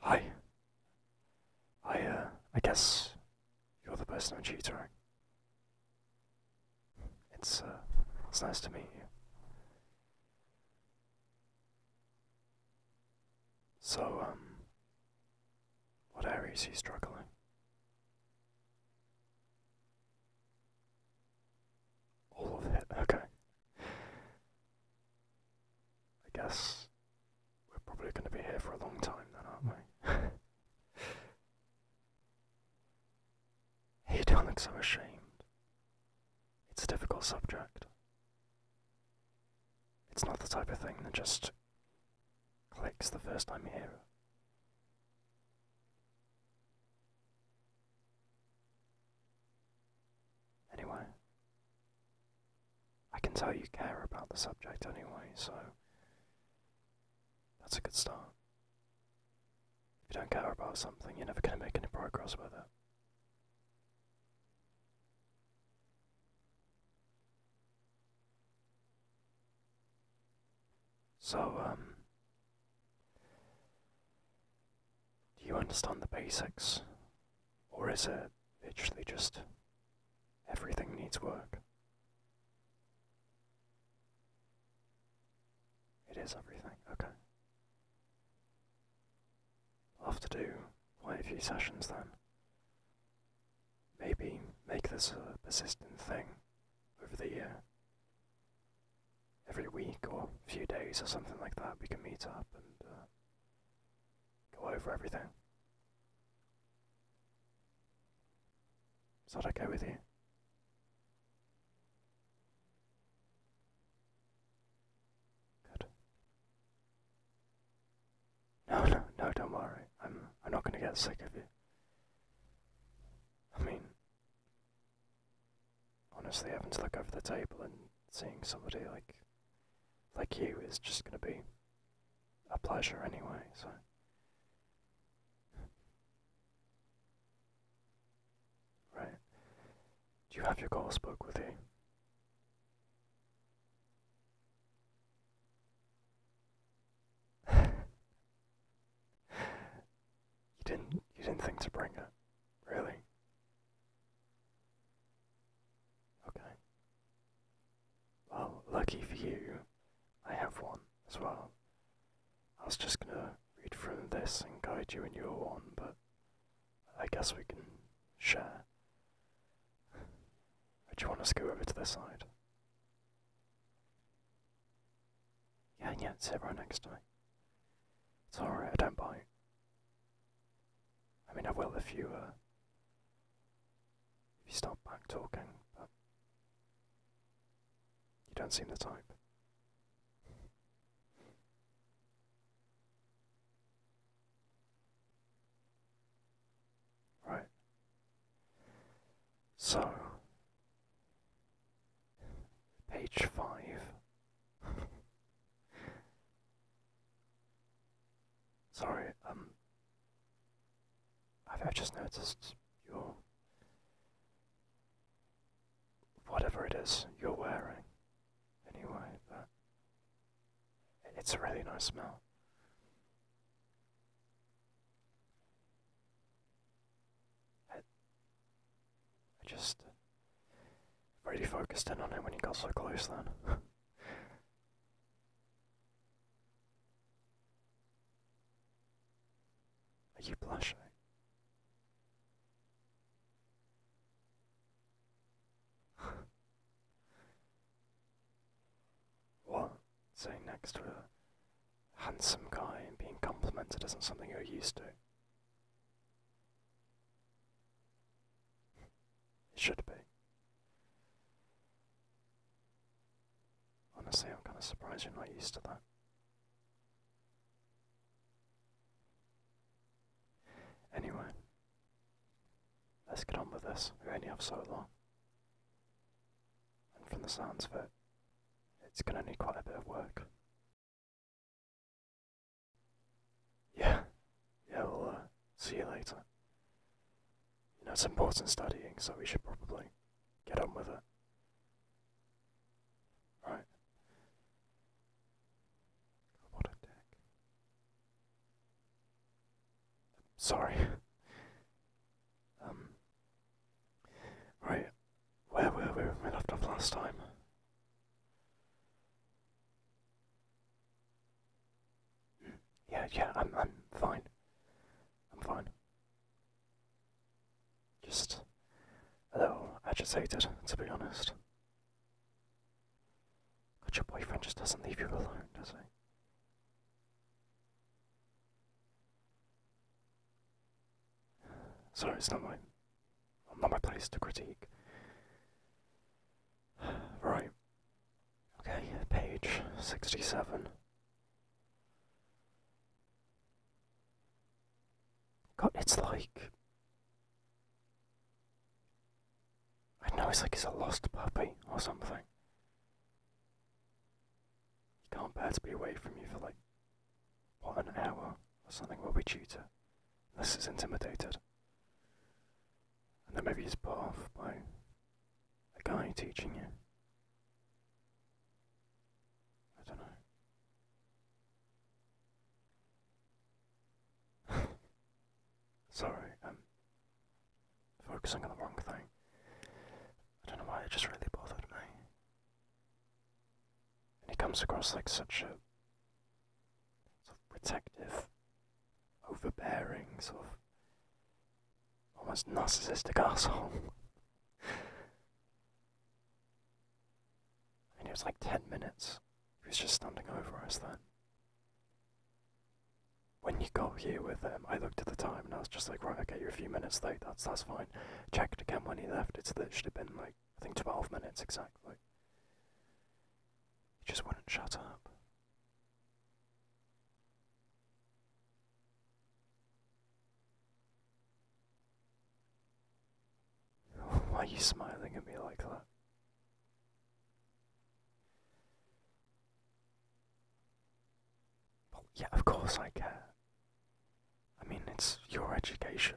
Hi. I, uh, I guess you're the person I'm tutoring. It's, uh, it's nice to meet you. So, um, what area is he struggling? All of it, okay. I guess we're probably going to be here for a long time then, aren't we? he don't look so ashamed. It's a difficult subject. It's not the type of thing that just clicks the first time you hear it. Anyway, I can tell you care about the subject anyway, so that's a good start. If you don't care about something, you're never going to make any progress with it. So, um, do you understand the basics or is it literally just everything needs work? It is everything, okay. I'll have to do quite a few sessions then. Maybe make this a persistent thing over the year. Every week or a few days or something like that, we can meet up and uh, go over everything. Is that okay with you? Good. No, no, no, don't worry. I'm, I'm not going to get sick of you. I mean, honestly, having to look over the table and seeing somebody like like you is just going to be a pleasure anyway, so. Right. Do you have your course spoke with you? you didn't you didn't think to bring it, really? Okay. Well, lucky for you, I have one as well. I was just gonna read from this and guide you and you your one, but I guess we can share. Would you want us to go over to this side? Yeah, yeah, sit right next to me. It's alright, I don't bite. I mean, I will if you, uh, if you start back talking, but you don't seem the type. Right. So, page five. Sorry, um, I've, just noticed your whatever it is you're wearing. Anyway, but it's a really nice smell. I just uh, really focused in on it when you got so close then. Are you blushing? what? Sitting next to a handsome guy and being complimented isn't something you're used to. It should be. Honestly, I'm kind of surprised you're not used to that. Anyway, let's get on with this. We only have so long. And from the sounds of it, it's going to need quite a bit of work. Yeah, yeah, we'll uh, see you later. You know, it's important studying, so we should probably get on with it. Right. What a dick. Sorry. um. Right. Where were we we left off last time? Yeah, yeah, I'm, I'm fine. I'm fine. Just a little agitated, to be honest. But your boyfriend just doesn't leave you alone, does he? Sorry, it's not my, not my place to critique. Right. Okay, page 67. God, it's like. I know it's like he's a lost puppy or something. He can't bear to be away from you for like, what, an hour or something, will we, tutor? This is intimidated and then maybe he's put off by a guy teaching you. I don't know. Sorry, um, focusing on the wrong thing. I don't know why it just really bothered me. And he comes across like such a sort of protective, overbearing, sort of almost narcissistic asshole. And it was like 10 minutes. He was just standing over us then. When you got here with him, I looked at the time and I was just like, right, okay, you're a few minutes late, that's, that's fine. Checked again when he left, it should have been like, I think 12 minutes exactly. He just wouldn't shut up. Why are you smiling at me like that? Well, yeah, of course I care. I mean, it's your education.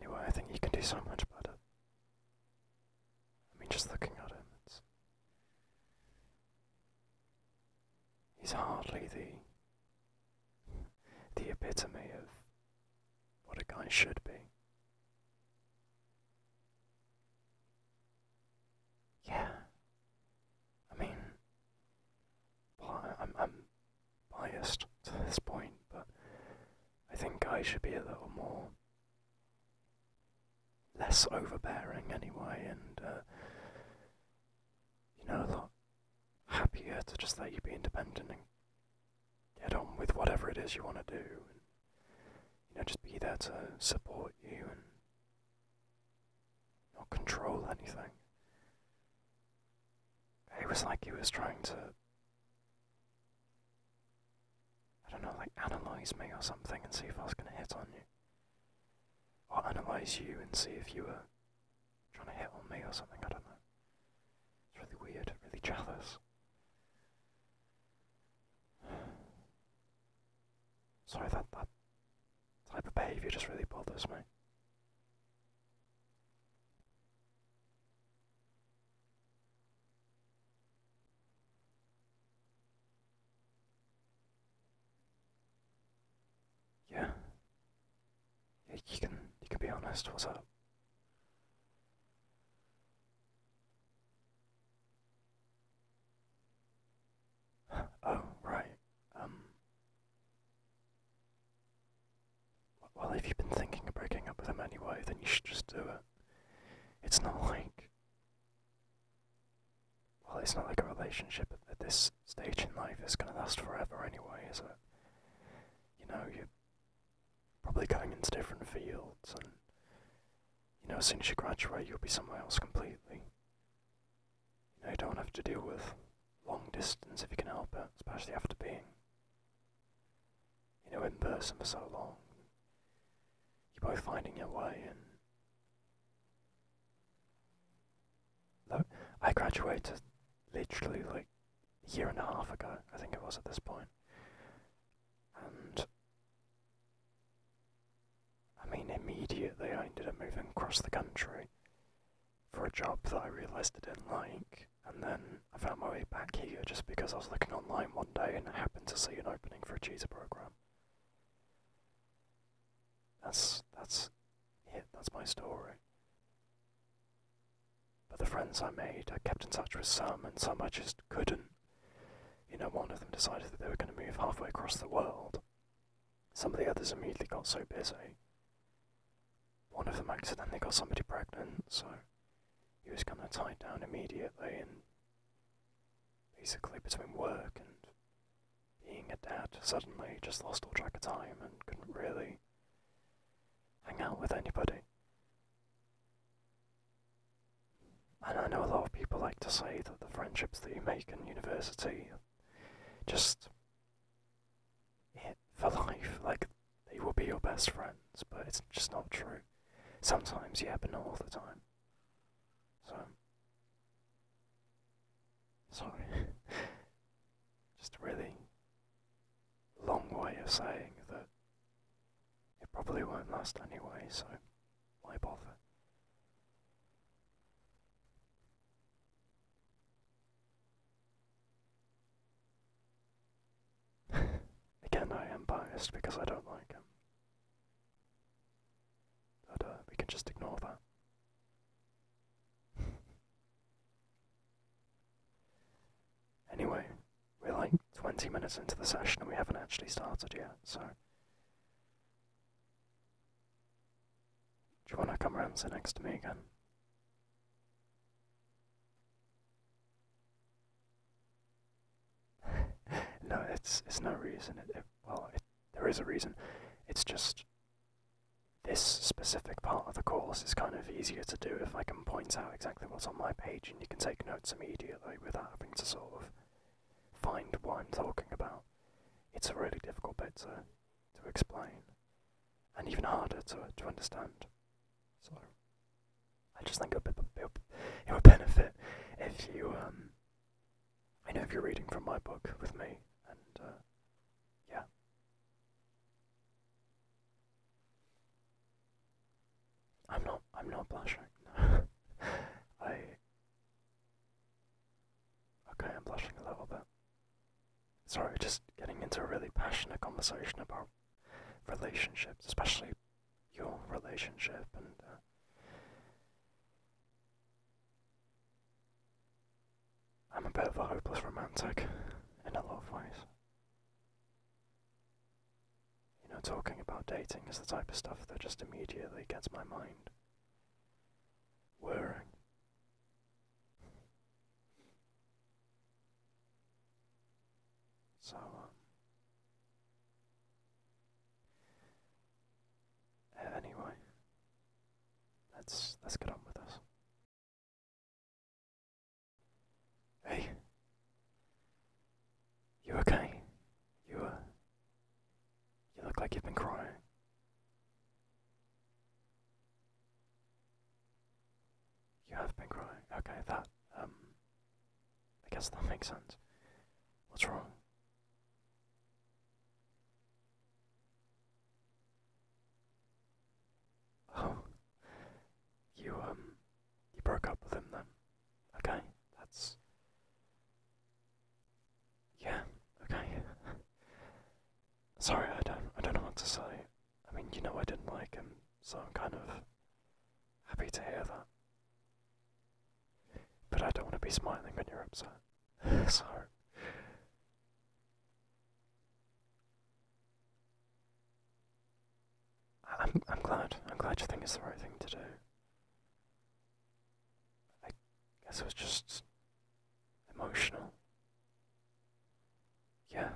Anyway, I think he can do so much better. I mean, just looking at him, He's hardly the. the epitome of what a guy should be. Yeah. I mean, well, I'm, I'm biased to this point, but I think I should be a little more less overbearing anyway, and uh, you know, a lot happier to just let you be independent and get on with whatever it is you want to do, you know, just be there to support you and not control anything. It was like he was trying to I don't know, like analyze me or something and see if I was going to hit on you. Or analyze you and see if you were trying to hit on me or something, I don't know. It's really weird, really jathers. Sorry, that, that type of behaviour just really bothers me. Yeah. You can you can be honest. What's up? Oh right. Um. Well, if you've been thinking of breaking up with him anyway, then you should just do it. It's not like. Well, it's not like a relationship at this stage in life is going to last forever anyway, is it? You know, you're probably going into different fields, and, you know, as soon as you graduate, you'll be somewhere else completely. You you don't have to deal with long distance if you can help it, especially after being you know, in person for so long. You're both finding your way and Look, I graduated literally like a year and a half ago, I think it was at this point. And I mean immediately I ended up moving across the country for a job that I realised I didn't like, and then I found my way back here just because I was looking online one day and I happened to see an opening for a cheetah program. That's that's it. That's my story. But the friends I made, I kept in touch with some, and some I just couldn't. You know, one of them decided that they were going to move halfway across the world. Some of the others immediately got so busy one of them accidentally got somebody pregnant, so he was kind of tied down immediately, and basically between work and being a dad, suddenly just lost all track of time and couldn't really hang out with anybody. And I know a lot of people like to say that the friendships that you make in university just it for life. Like they will be your best friends, but it's just not true. Sometimes, you happen all the time. So, sorry. just a really long way of saying that it probably won't last anyway, so why bother? Again, I am biased because I don't like him. But uh, we can just ignore that. anyway, we're like 20 minutes into the session and we haven't actually started yet, so. Do you want to come around and sit next to me again? no, it's it's no reason. well, there is a reason. It's just this specific part of the course is kind of easier to do if I can point out exactly what's on my page, and you can take notes immediately without having to sort of find what I'm talking about. It's a really difficult bit to to explain, and even harder to to understand. So I just think it would, it would benefit if you, um, I know if you're reading from my book with me, and uh, yeah. I'm not, I'm not blushing. I, okay, I'm blushing a little bit. Sorry, just getting into a really passionate conversation about relationships, especially your relationship and. Uh, I'm a bit of a hopeless romantic in a lot of ways. You know, talking about dating is the type of stuff that just immediately gets my mind whirring. So, um, anyway, let's let's get on with this. Hey, you okay? You uh, you look like you've been crying. You have been crying. Okay, that, um, I guess that makes sense. What's wrong? Oh, you, um, you broke up with him then. Okay, that's. Yeah, okay. Sorry, I don't, I don't know what to say. I mean, you know I didn't like him, so I'm kind of happy to hear that. But I don't want to be smiling when you're upset. so. I'm, I'm glad. I'm glad you think it's the right thing to do. I guess it was just emotional yeah.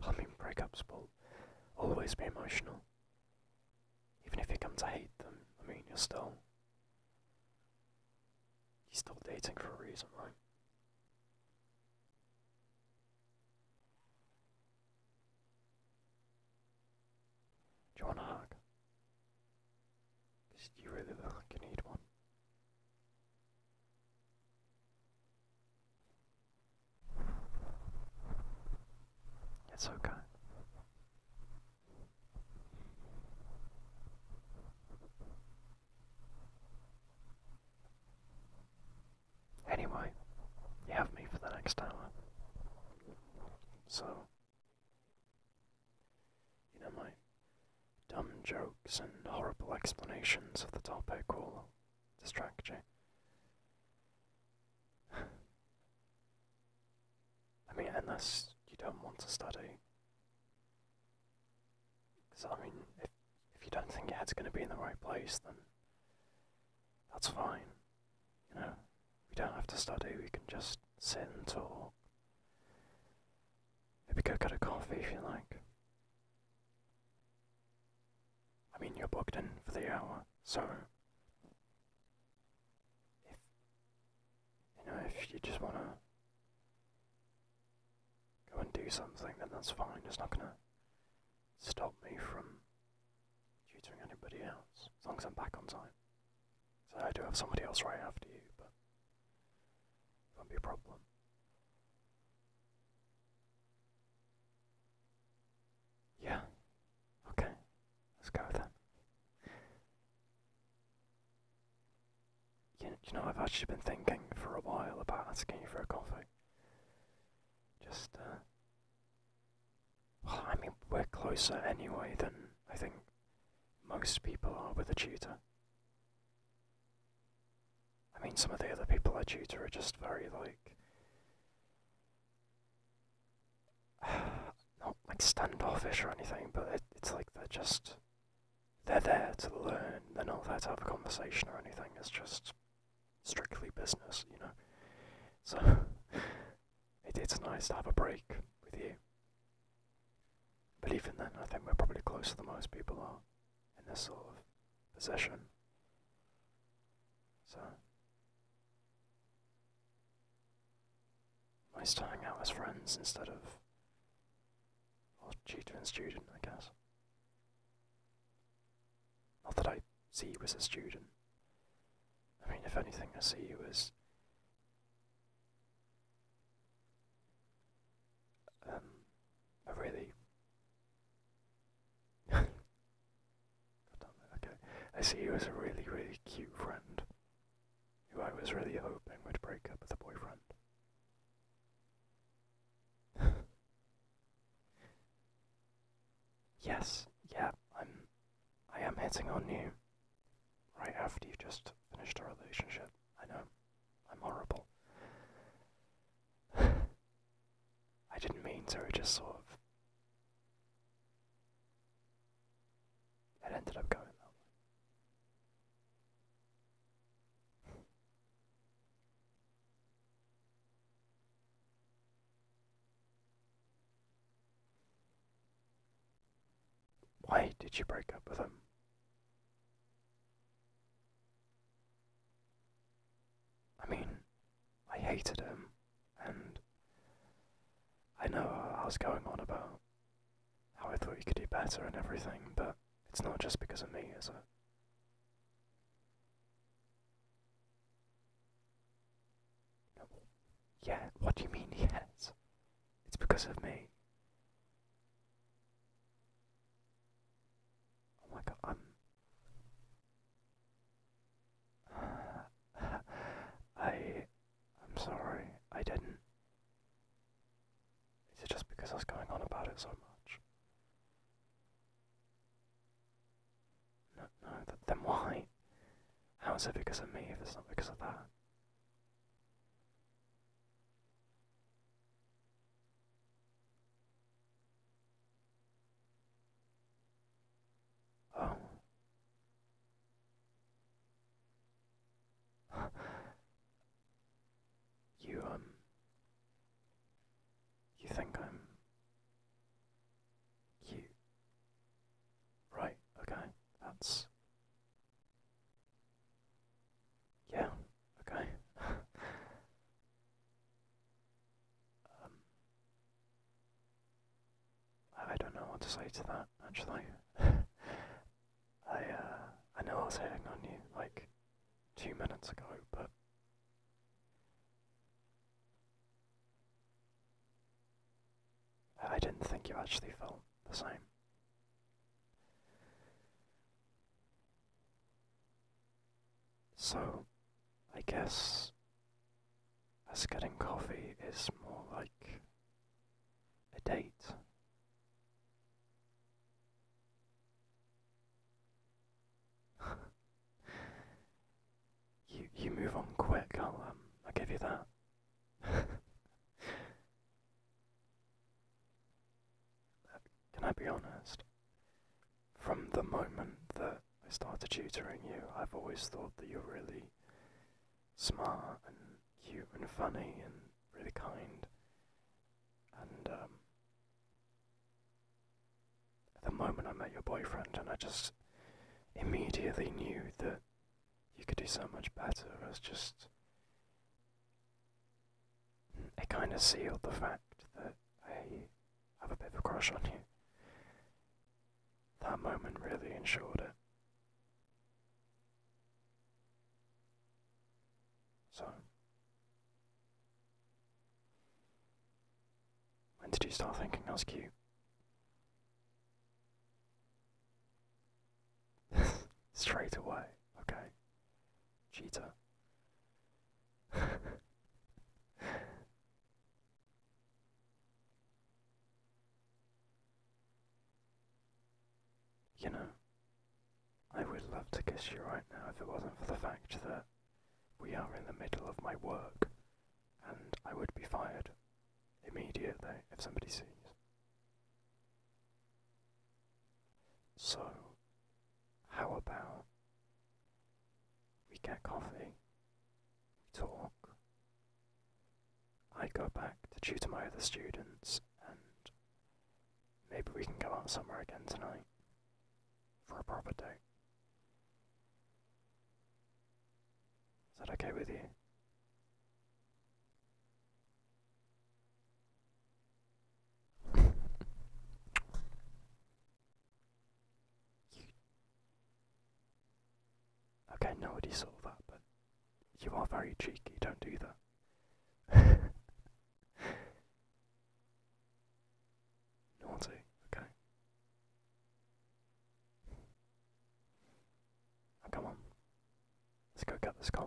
Plumbing breakups will always be emotional. Even if you come to hate them, I mean, you're still. You're still dating for a reason, right? Do you want a hug? you really look like you need one. It's okay. Anyway, you have me for the next hour. So, you know, my Dumb jokes and horrible explanations of the topic will distract you. I mean, unless you don't want to study. Because, I mean, if, if you don't think your head's going to be in the right place, then that's fine. You know, we don't have to study, we can just sit and talk. Maybe go get a coffee if you like. I mean, you're booked in for the hour, so if you know if you just want to go and do something, then that's fine. It's not gonna stop me from tutoring anybody else as long as I'm back on time. So I do have somebody else right after you, but won't be a problem. Yeah. Okay. Let's go with You, know, I've actually been thinking for a while about asking you for a coffee. Just, uh, Well, I mean, we're closer anyway than I think most people are with a tutor. I mean, some of the other people I tutor are just very like. Not like standoffish or anything, but it's like they're just. They're there to learn, they're not there to have a conversation or anything, it's just strictly business, you know? So, it's nice to have a break with you. But even then, I think we're probably closer than most people are in this sort of position. So, nice to hang out as friends instead of or tutor and student, I guess. Not that I see you as a student. I mean, if anything, I see you as um, a really okay. I see you as a really, really cute friend who I was really hoping would break up with a boyfriend. yes, yeah, I'm I am hitting on you right after you've just finished a relationship, I know. I'm horrible. I didn't mean to, I just sort of. It ended up going that way. Why did you break up with him? I mean, I hated him, and I know I was going on about how I thought he could do better and everything, but it's not just because of me, is it? Yeah, what do you mean yes? It's because of me. Oh my god, I'm. I. am i am sorry, I didn't. Is it just because I was going on about it so much? No, no, then why? How is it because of me if it's not because of that? Oh. you, um. You think I'm. cute? Right, okay, that's. Yeah, okay. um, I don't know what to say to that, actually. I, uh, I know I was hitting on you, like, two minutes ago, but... I didn't think you actually felt the same. So, I guess us getting coffee is more like a date. you you move on quick. I'll um, I'll give you that. Can I be honest? From the moment that I started tutoring you, I've always thought that you're really smart and cute and funny and really kind. And um, the moment I met your boyfriend, and I just immediately knew that you could do so much better. I just it kind of sealed the fact that I have a bit of a crush on you. That moment really ensured it. So, when did you start thinking I was cute? Straight away, okay. Cheater. you know, I would love to kiss you right now if it wasn't for the fact that we are in the middle of my work and I would be fired immediately if somebody sees. So, how about we get coffee, we talk, I go back to tutor my other students, and maybe we can go out somewhere again tonight for a proper date. Is that okay with you? Okay, nobody saw that, but you are very cheeky, don't do that. Naughty, okay. come on. Let's go get this coffee.